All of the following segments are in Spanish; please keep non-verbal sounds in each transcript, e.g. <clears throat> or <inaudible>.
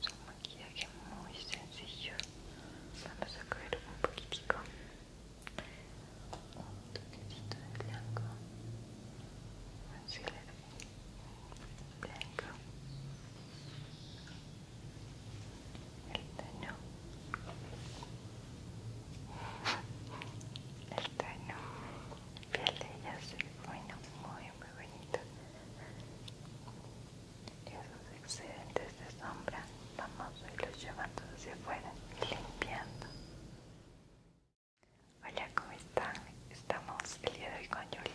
Es un maquillaje muy sencillo. Vamos a coger un poquitico, un toquecito de blanco, blanco, el tono el bueno, muy muy bonito y Esos excedentes de sombra vamos a irlos llevando hacia afuera, limpiando. Hola, ¿cómo están? Estamos el día de hoy con Yoli.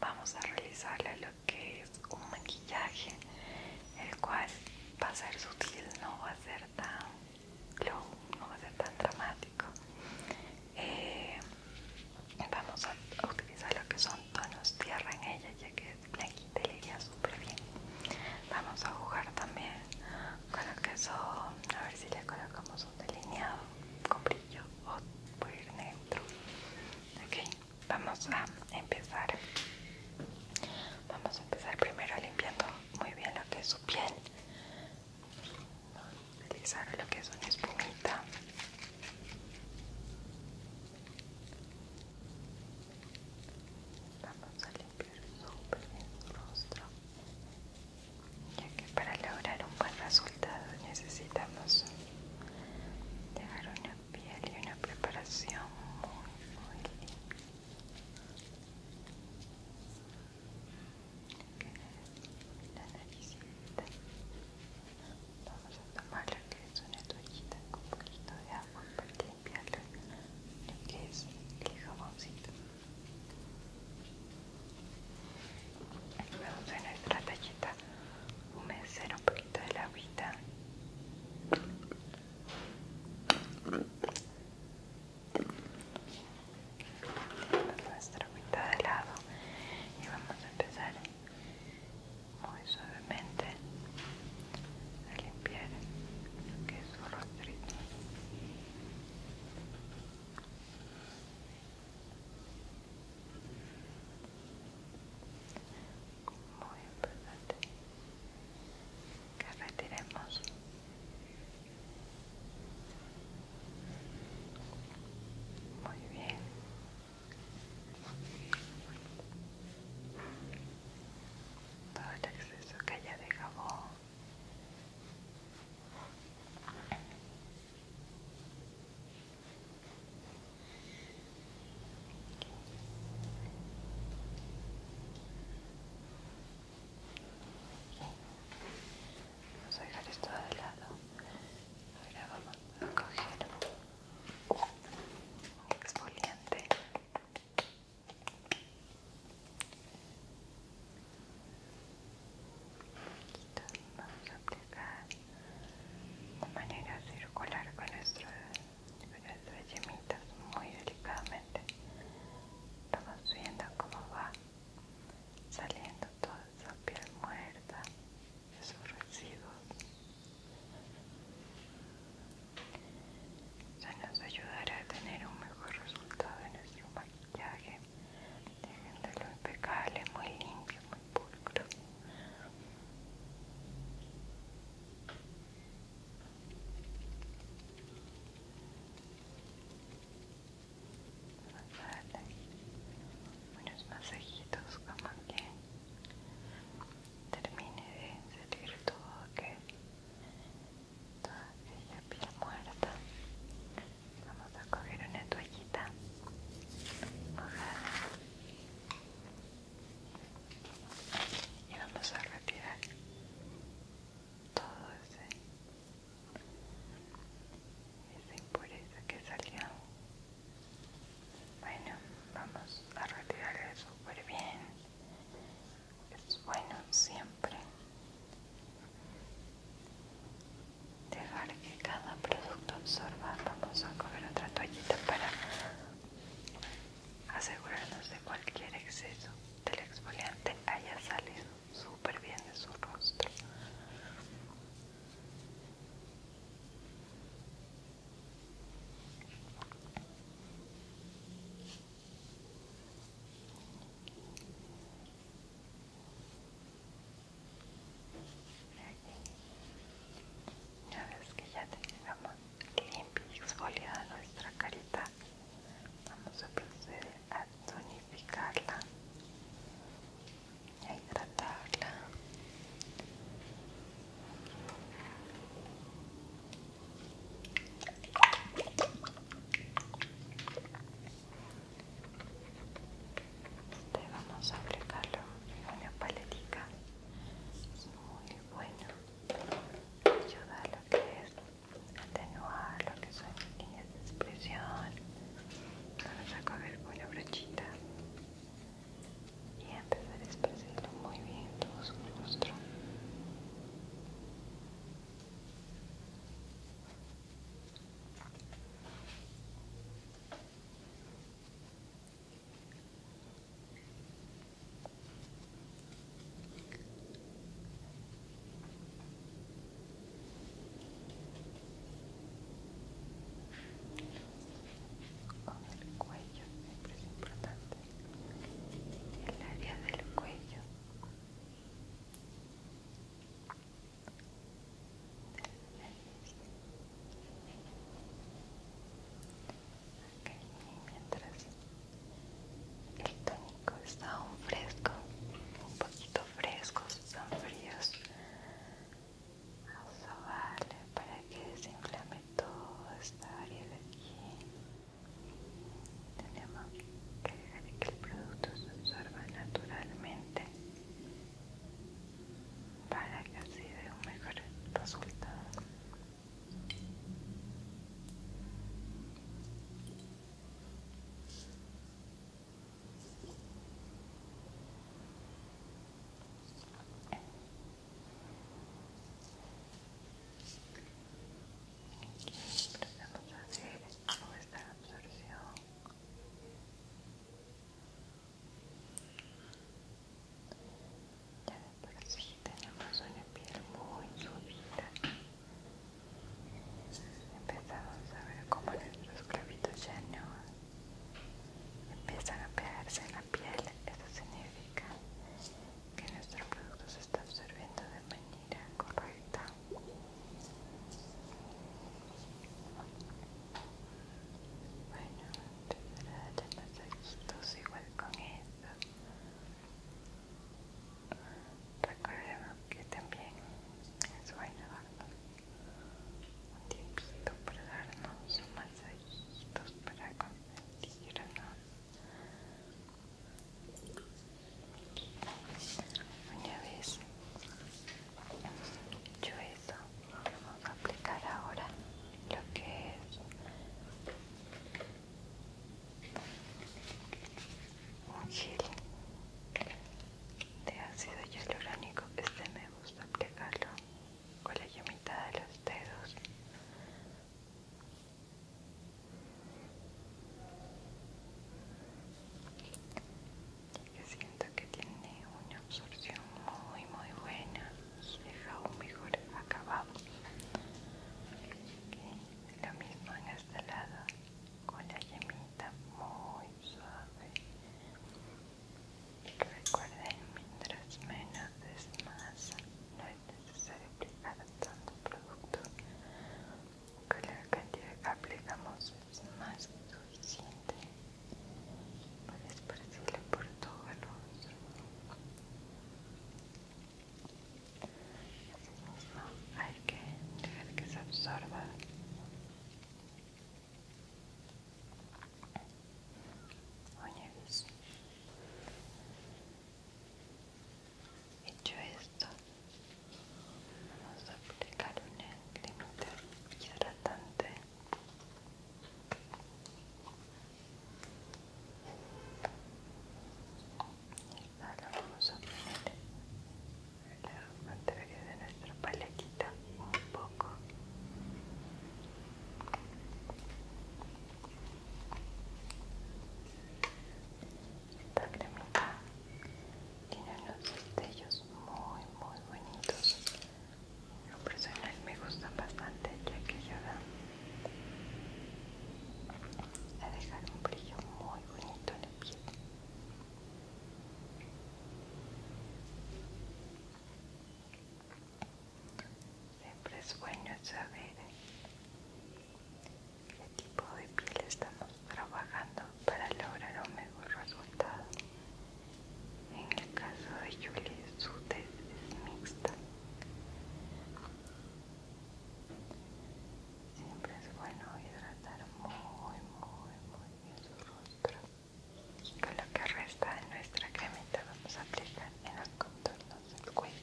Vamos a realizarle lo que es un maquillaje, el cual va a ser sutil, no va a ser tan low, no va a ser tan dramático. Eh, vamos a utilizar lo que son tonos tierra en ella ya que blanquita le iría súper bien vamos a jugar también con lo que son a ver si le colocamos un delineado con brillo o por ir neutro ok vamos a empezar vamos a empezar primero limpiando muy bien lo que es su piel utilizar lo que es una espumita vamos a limpiar súper bien su rostro ya que para lograr un buen resultado necesitamos dejar una piel y una preparación muy muy limpia vamos a tomar lo que es una toallita con un poquito de agua para limpiarlo lo que es el jaboncito vamos a nuestra tallita humedecer un poquito de la agüita nuestra agüita de lado y vamos a empezar muy suavemente a limpiar que es su rostro muy importante que retiremos muy bien todo el exceso que haya de Vamos a dejar esto de lado. Ahora vamos a coger un exfoliante vamos a aplicar de manera circular con, nuestras yemitas muy delicadamente estamos viendo cómo va saliendo toda esa piel muerta esos residuos se nos ayudará a tener un mejor resultado en nuestro maquillaje dejándolo impecable, muy limpio, muy pulcro unos masajitos como que termine de salir todo que toda aquella piel muerta vamos a coger una toallita y vamos a retirar todo ese esa impureza que salió bueno, vamos a retirarle súper bien. Es bueno siempre dejar que cada producto absorba. Vamos a coger otra toallita para asegurarnos de cualquier exceso del exfoliante haya salido súper bien de su rostro. Una vez que ya tenemos limpia y exfoliada nuestra carita, vamos a proceder a tonificarla a hidratarla este vamos a aplicarlo en una paletica es muy bueno ayuda a lo que es atenuar lo que son líneas de expresión vamos a coger una brochita y empezar a expresarlo muy bien todo su rostro con el cuello siempre es importante el área del cuello mientras el tónico está aún fresco un poquito fresco, están fríos eso para que desinflame toda esta área de aquí. Tenemos que dejar que el producto se absorba naturalmente para que así de un mejor resultado. Empezamos a hacer la absorción. Ya de por sí tenemos una piel muy subida. Empezamos a ver cómo nuestros clavitos ya no empiezan a pegarse en la piel, eso significa que nuestro producto se está absorbiendo de manera correcta. Bueno, empezaré a las igual con esto. Recordemos que también es bueno un tiempito para darnos un masajitos para consentirnos una vez hecho eso vamos a aplicar ahora lo que es un gel de ácido hialurónico este me gusta aplicarlo con la yemita de los dedos yo siento que tiene una absorción muy muy buena Se deja un mejor acabado lo mismo en este lado con la yemita muy suave Recuerden, mientras menos es más, no es necesario aplicar tanto producto. que la cantidad que aplicamos es más que suficiente para esparcirle por todo el rostro. Asimismo, hay que dejar que se absorba Oye, hecho esto, vamos a aplicar un de hidratante. y ahora vamos a poner la materia de nuestra paleta un poco. Esta cremita tiene unos destellos muy muy bonitos. lo personal me gusta bastante ya que ayudan a dejar un brillo muy bonito en el pie Siempre es bueno saber qué tipo de piel estamos trabajando para lograr un mejor resultado. En el caso de Julie, su tez es mixta. Siempre es bueno hidratar muy, muy, muy bien su rostro y con lo que resta de nuestra cremita vamos a aplicar en los contornos del cuello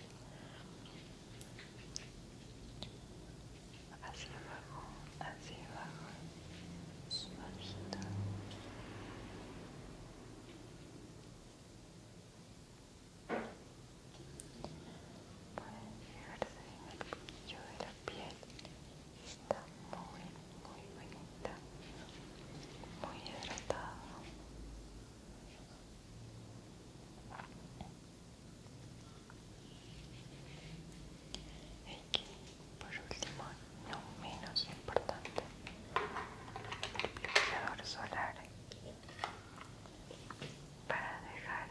hacia abajo, hacia abajo suavito pueden fijarse en el brillo de la piel está muy muy bonita, muy hidratada. Y por último, no menos importante, el solar para dejar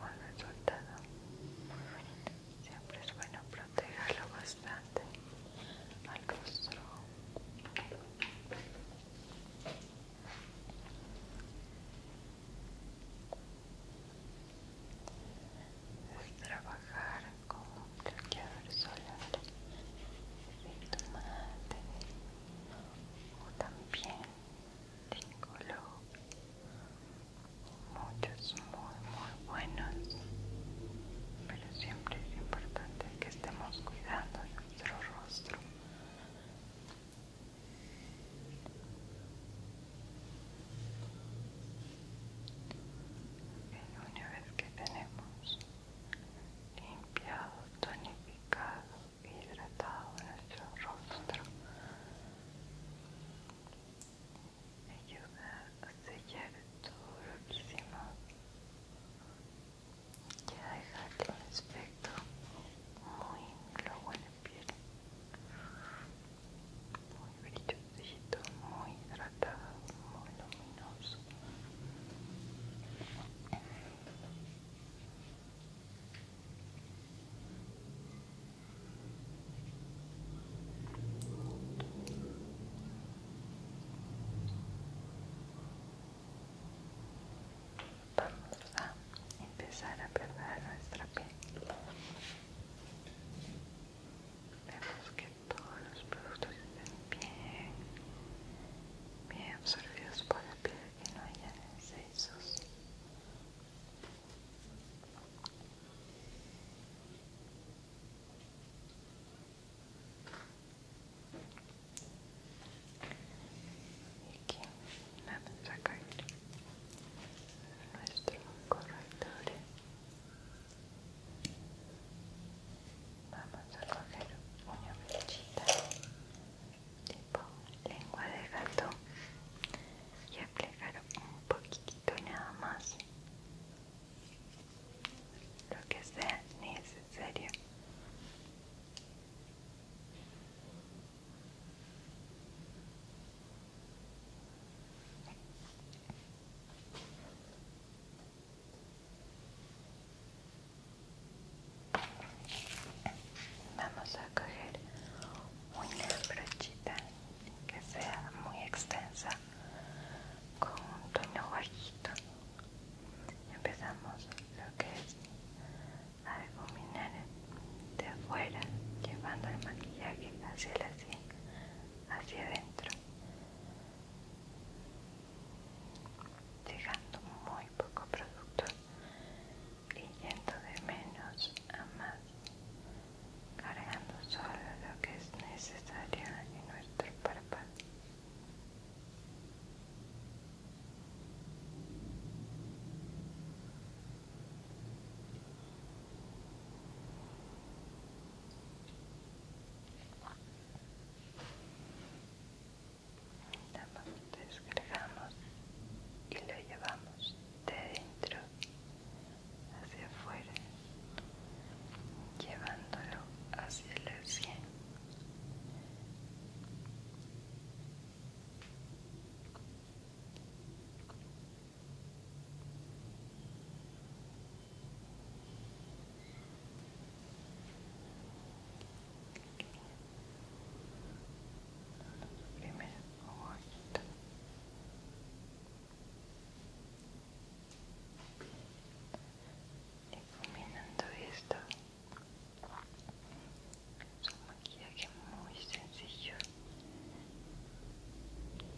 un resultado muy bonito siempre es bueno protegerlo bastante al rostro es trabajar con un bloqueador solar de tomate o también de color muchos muy muy buenos pero siempre es importante que estemos cuidando nuestro rostro una vez que tenemos limpiado, tonificado, hidratado nuestro rostro me ayuda a sellar todo lo que hicimos y a dejarle un aspecto muy globo en la piel muy brillosito, muy hidratado, muy luminoso Vamos a empezar a perder nuestra piel. Vemos que todos los productos están bien, bien absorbidos por la piel, que no haya excesos y Aquí, vamos a sacar nuestro corrector. Vamos a coger una flechita tipo lengua de gato y aplicar un poquitito nada más lo que sea necesario Vamos a coger una brochita que sea muy extensa con un tono bajito empezamos lo que es difuminar de afuera llevando el maquillaje hacia la sien hacia adentro llegando muy poco producto y yendo de menos a más cargando solo lo que es necesario en nuestro párpado. Descargamos y lo llevamos de dentro hacia afuera, llevándolo hacia la cielo Primero, E combinando esto, es un maquillaje é muy sencillo.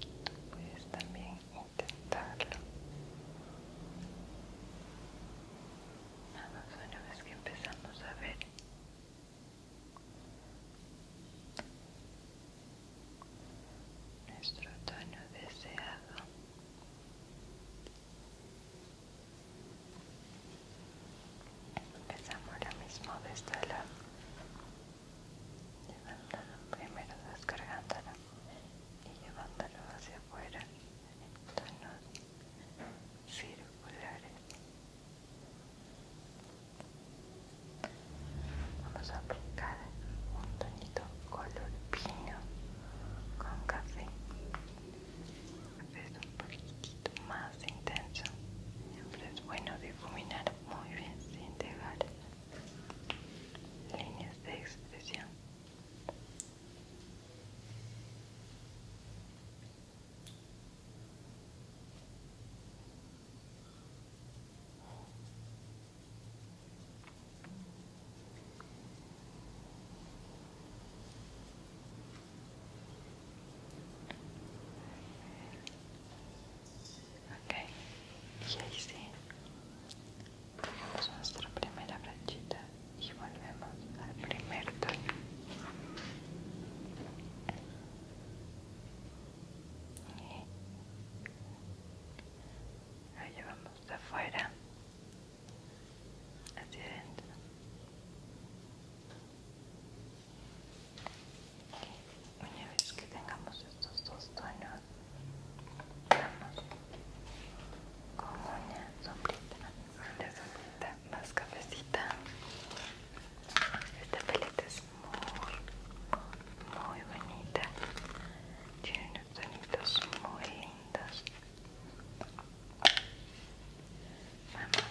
Tú puedes también intentarlo. Nada só uma vez que empezamos a ver nuestro tono deseado. Empezamos ahora mismo desde este llevándolo primero descargándolo y llevándolo hacia afuera en tonos circulares vamos a aplicar un tonito color pino con café es un poquito más intenso siempre es bueno difuminar muy bien sin dejar líneas de expresión Okay, y ahí sí, cogemos nuestra primera branchita y volvemos al primer tono. Ahí vamos de afuera hacia adentro una vez que tengamos estos dos tonos vamos con una sombrita una sombrita más cafecita esta paleta es muy muy bonita tonitos muy lindos Vamos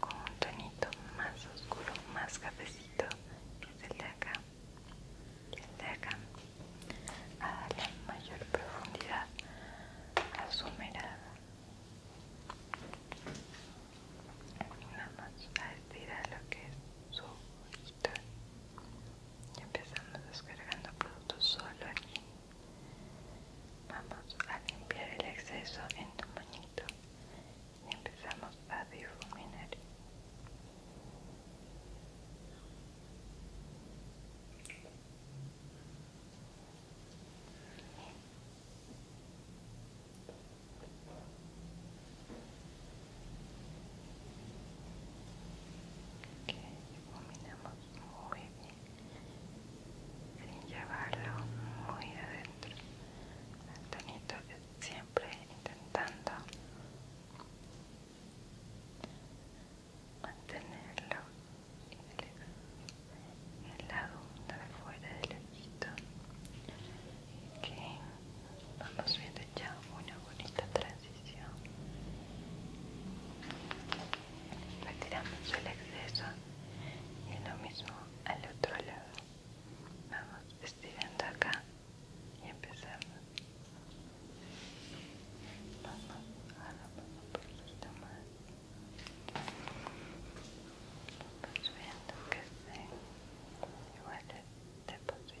con un tonito más oscuro, más cafecito, que es el de acá. el de acá. A la mayor profundidad a su mirada. Nada más a estirar lo que es su y empezamos descargando productos solo aquí vamos a limpiar el exceso en tu manito y empezamos a difuminar que iluminamos muy bien sin llevarlo muy adentro Antonito siempre intentando mantenerlo en el lado de afuera del ojito que vamos viendo ya una bonita transición retiramos el exceso y lo mismo al otro lado vamos estirando acá y empezamos vamos a por los demás vamos viendo que se igual de posible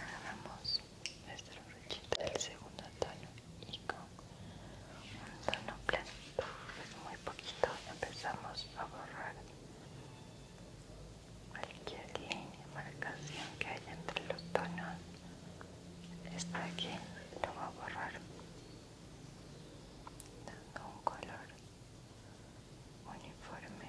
agarramos este brochita del segundo tono y con un tono plano muy poquito empezamos a borrar cualquier línea marcación que haya entre los tonos esta aquí lo voy a borrar dando un color uniforme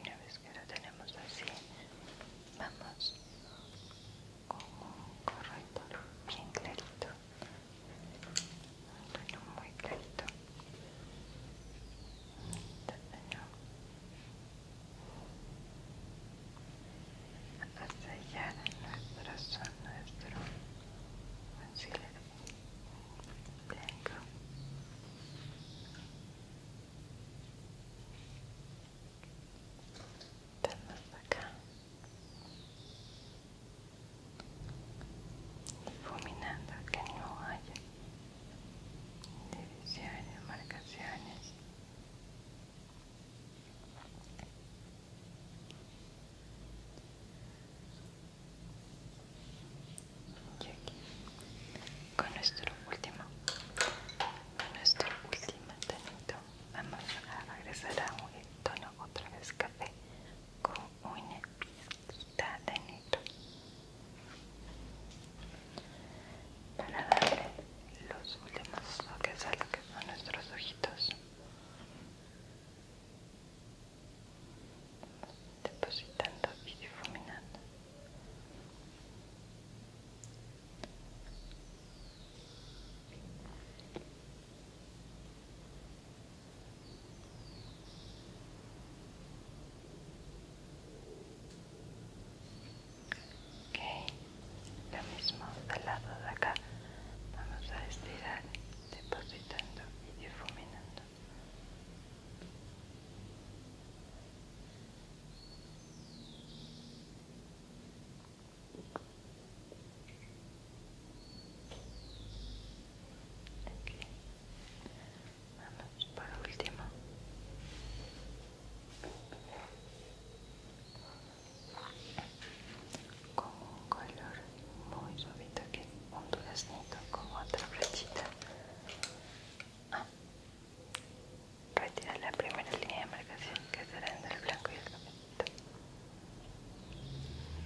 Una vez que lo tenemos así, vamos con un corrector bien clarito, un tono muy clarito. Hasta allá de nuestro son, nuestro concealer blanco hasta acá difuminando que no haya divisiones, marcaciones y aquí, con nuestro último, con nuestro último tonito, vamos a regresar a un tono otra vez café con un pizquita de para darle los últimos toques a lo que son nuestros ojitos depositando y difuminando ok lo mismo del lado de acá vamos a estirar depositando y difuminando. Aquí. Vamos para último con un color muy suavito aquí, un duraznito con otra flechita ah. retirar la primera línea de marcación que será entre el blanco y el cafecito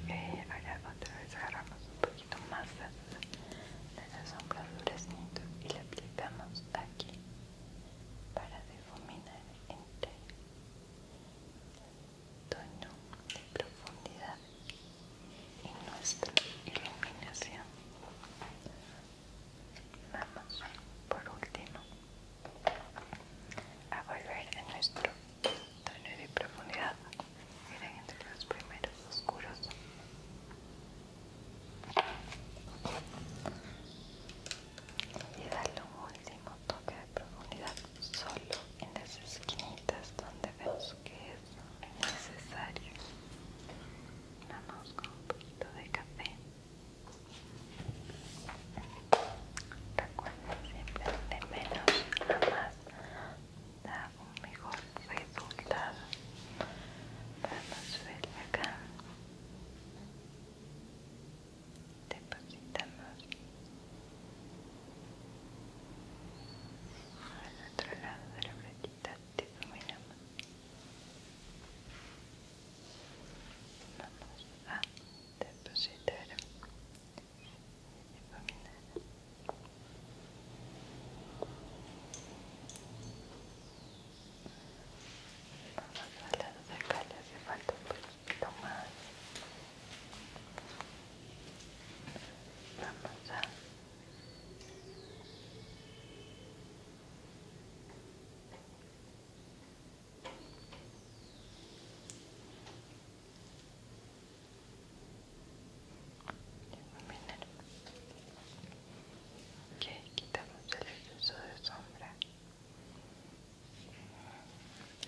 y eh, ahora otra vez agarramos un poquito más de la sombras duraznito y la aplicamos aquí para difuminar entre tono de profundidad y nuestra iluminación. Vamos, por último, a volver a nuestro tono de profundidad. Miren entre los primeros oscuros. Y darle un último toque de profundidad solo en las esquinitas donde vemos que es necesario. Vamos con un poquito de café. Recuerda siempre de menos a más da un mejor resultado. Vamos a ver acá. más al otro lado de la flequita te iluminamos vamos a depositar iluminar vamos al lado de acá le hace falta un poco tomar vamos que quitamos el uso de sombra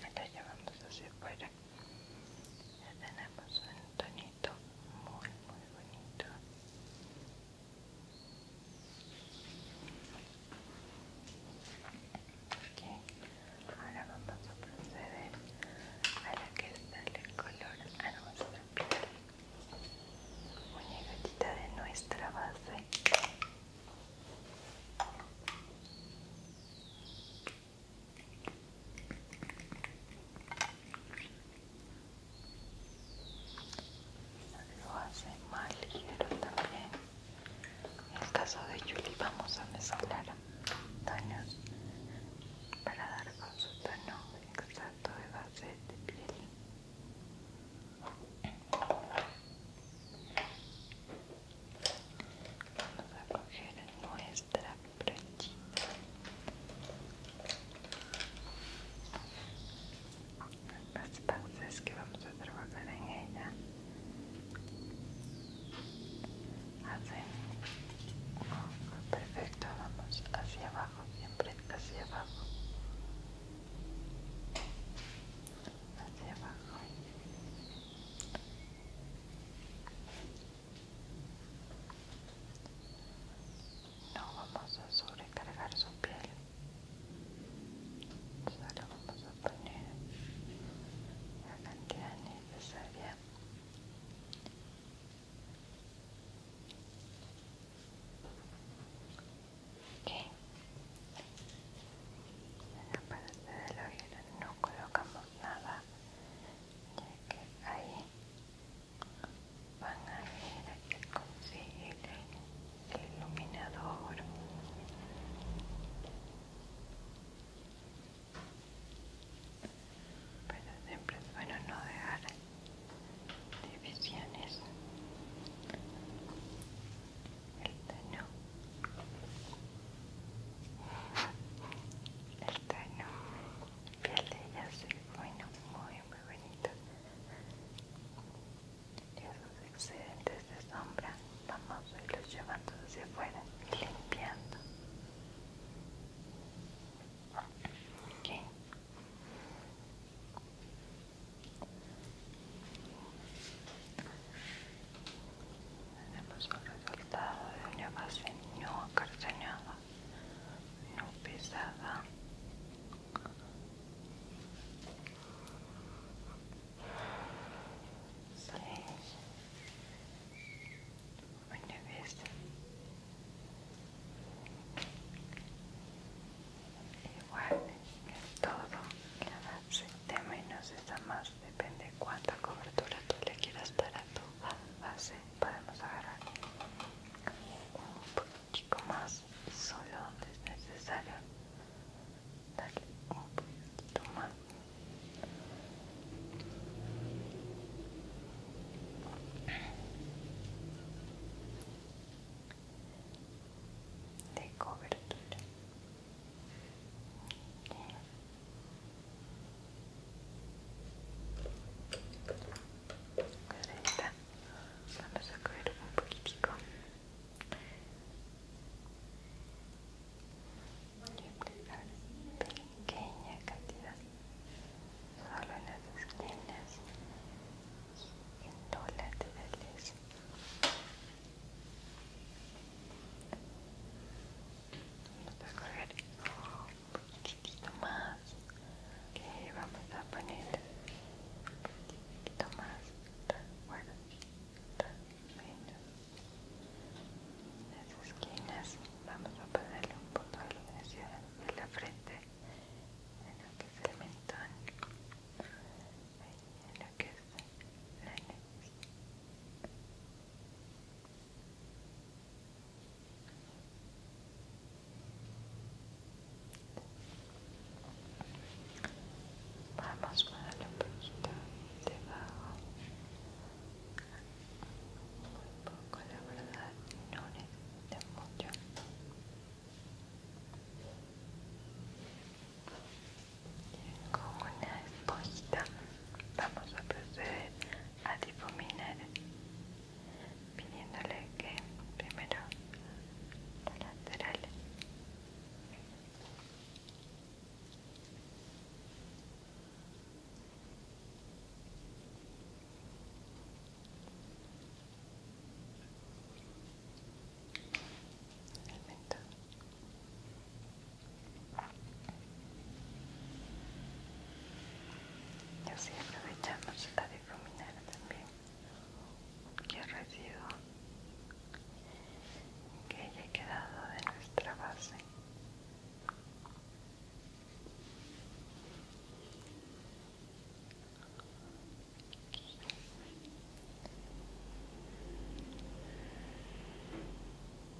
acá llevamos hacia ya tenemos un tonito muy, muy bonito. ok, Ahora vamos a proceder a la que el color a nuestra piel. Una gotita de nuestra base lo hace más ligero también en el caso de Julie vamos a mezclar montañas para dar con su tono exacto de base de piel vamos a coger nuestra brochita las bases que vamos a trabajar en ella hacen perfecto vamos hacia abajo siempre hacia abajo hacia abajo no vamos a sobrecargar su piel. Solo vamos a poner la cantidad necesaria. Ok. En la parte la oído no colocamos nada ya que ahí van a ver que consigue el iluminador pero siempre es bueno no dejar divisiones el tono bueno, piel de ella bueno, muy muy bonito. Y esos excedentes de sombra vamos a los llevando hacia afuera y limpiando. Tenemos un resultado de una base no acartonada, no pesada. Sí. Una vez igual en todo el sistema y nos está más pues, depende cuánta cobertura tú le quieras dar a tu base podemos agarrar un poquito más solo donde es necesario darle un poquito más de cobertura pues Vamos a coger un poquitico. Y aplicar pequeña cantidad solo en las esquinas y en todas las laterales. Vamos a coger un poquito más. Le vamos a poner un poquito más. Bueno, menos. Las esquinas vamos a ponerle un punto de iluminación en la frente, en lo que es el mentón, en lo que es la nariz. Vamos a darle la punta debajo. Muy poco, la verdad, no necesita mucho. Con una esponjita, vamos a proceder a difuminar pidiéndole que primero lateral laterales el y así aprovechamos para difuminar también que residuo que haya quedado de nuestra base.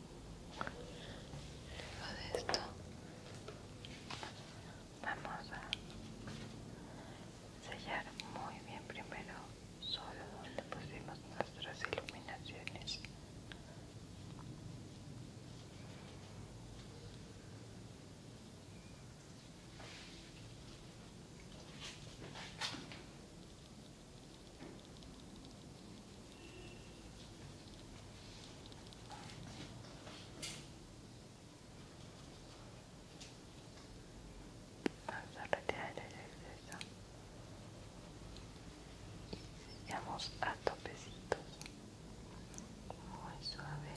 Luego de esto vamos a sellar muy bien primero solo donde pusimos nuestras iluminaciones. Vamos a retirar el exceso y a topecitos muy suave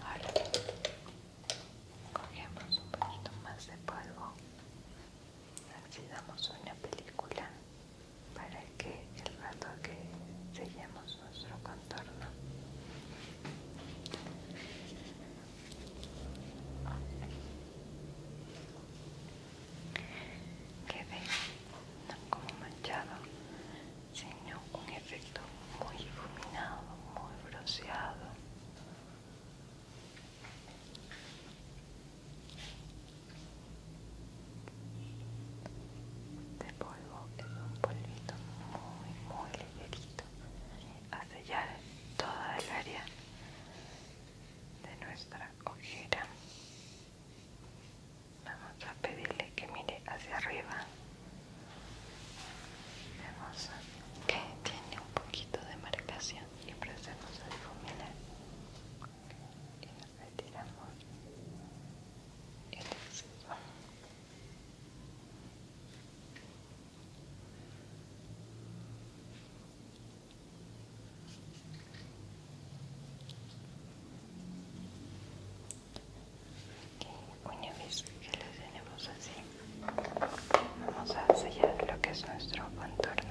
ahora cogemos un poquito más de polvo, así damos una película para que el rato que sellemos nuestro contorno quede no como manchado sino un efecto muy iluminado muy bronceado de polvo es un polvito muy, muy ligerito a sellar toda el área de nuestra ojera. Vamos a pedirle que mire hacia arriba. Vemos que tiene un poquito de marcación y procedemos a difuminar retiramos el exceso una vez que lo tenemos así vamos a sellar lo que es nuestro contorno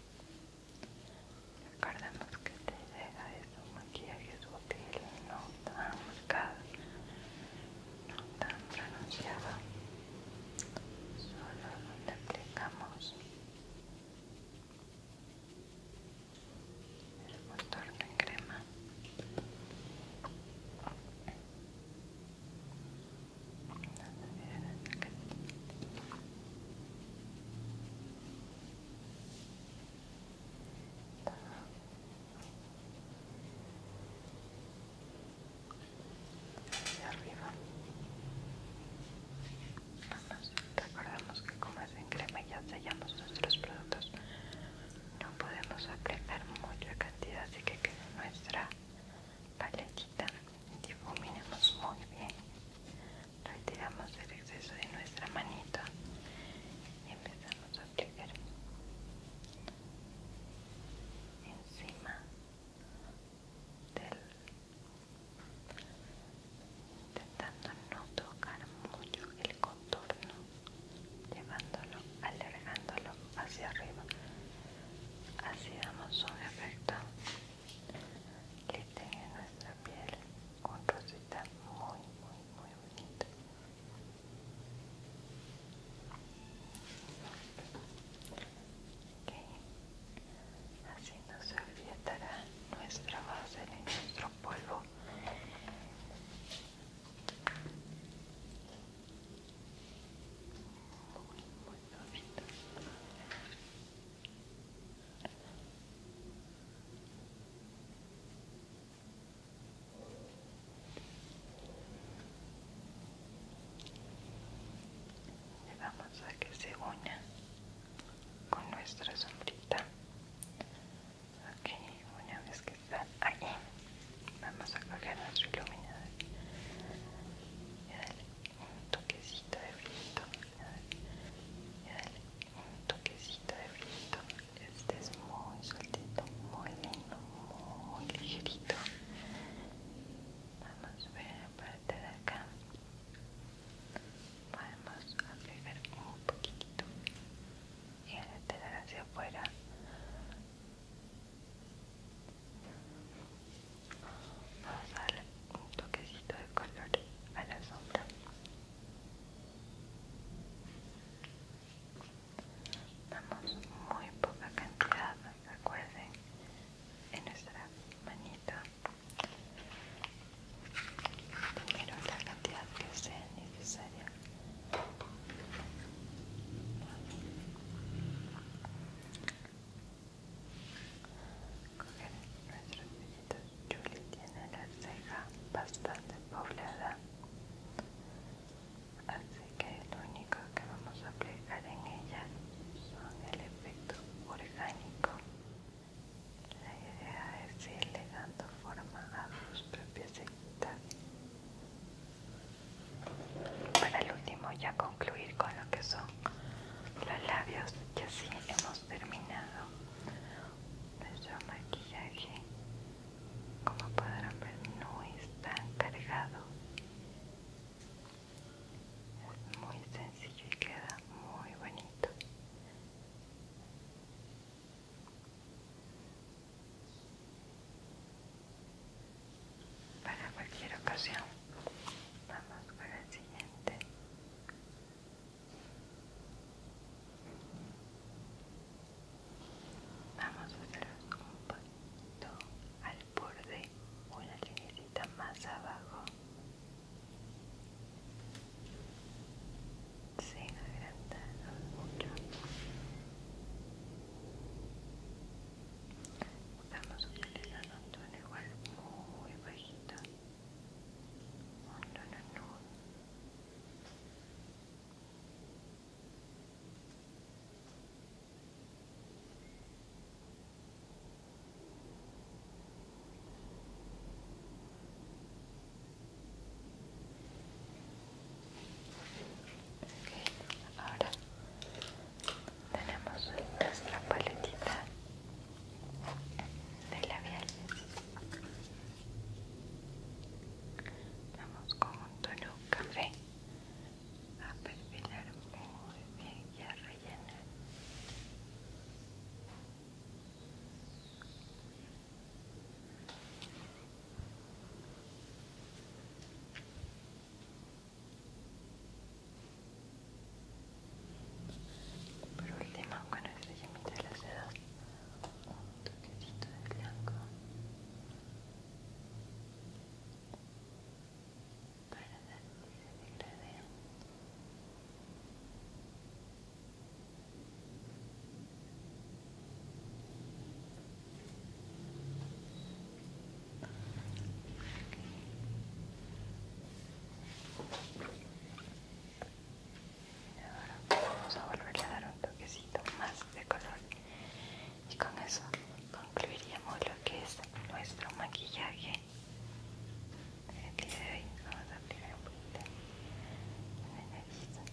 Recordemos que te deja un maquillaje sutil, no tan marcado, no tan pronunciado solo donde aplicamos el motor de crema. Hacia arriba. Vamos, que como es en crema y ya sellamos nuestros productos, no podemos apreciar mucha cantidad, así que queda nuestra paletita difuminemos muy bien retiramos el exceso de nuestra manita y empezamos a aplicar encima del intentando no tocar mucho el contorno llevándolo alargándolo hacia arriba así damos un efecto que en nuestra piel un rosita muy, muy, muy bonita Así no se olvidará nuestra base ni nuestro polvo. Muy, muy bonito. Le vamos a que se una con nuestra sombrita. Ok, una vez que está ahí, vamos a coger nuestro iluminador un toquecito de frito y dale un toquecito de frito este es muy sueltito muy lindo muy ligerito vamos a ver la parte de acá Vamos a mover un poquitito y a estelar hacia afuera Vamos a darle un toquecito de color a la sombra. Damos muy poca cantidad, recuerden, en nuestra manita. Primero la cantidad que sea necesaria coger nuestros Julie tiene la ceja bastante poblada, así que lo único que vamos a aplicar en ella son el efecto orgánico. La idea es irle dando forma a sus propias cejitas. Para el último ya concluir con lo que son los labios y así hemos terminado nuestro maquillaje como podrán ver no es tan cargado es muy sencillo y queda muy bonito para cualquier ocasión Vamos para el siguiente. Vamos a hacer un poquito al borde, una linecita más abajo. Sin agrandarnos mucho vamos a en un tono igual muy bajito un tono nudo Okay. Ahora tenemos nuestra paletita de labiales vamos con un tono café a perfilar muy bien y a rellenar por último, con este yemito de las dedos, un toquecito de blanco para dar que se degrade. Ahora vamos a volverle a dar un toquecito más de color y con eso concluiríamos lo que es nuestro maquillaje día de hoy vamos a aplicar un poquito en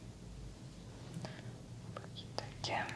un poquito aquí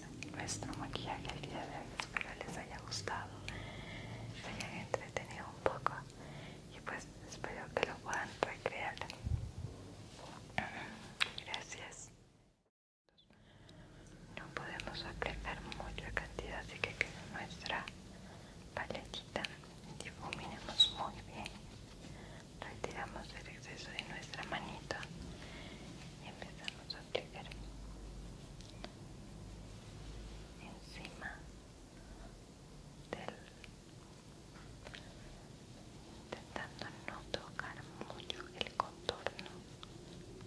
Pues, nuestro maquillaje el día de hoy. Espero les haya gustado, se hayan entretenido un poco y pues espero que lo puedan recrear. <clears throat> Gracias. No podemos aplicar mucha cantidad, así que queda nuestra paletita. Difuminemos muy bien. Retiramos el exceso de nuestra manita y empezamos a aplicar encima del intentando no tocar mucho el contorno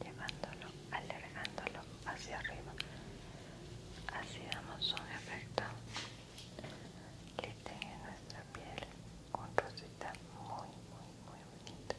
llevándolo alargándolo hacia arriba así damos un efecto que tenga nuestra piel con rosita muy muy muy bonita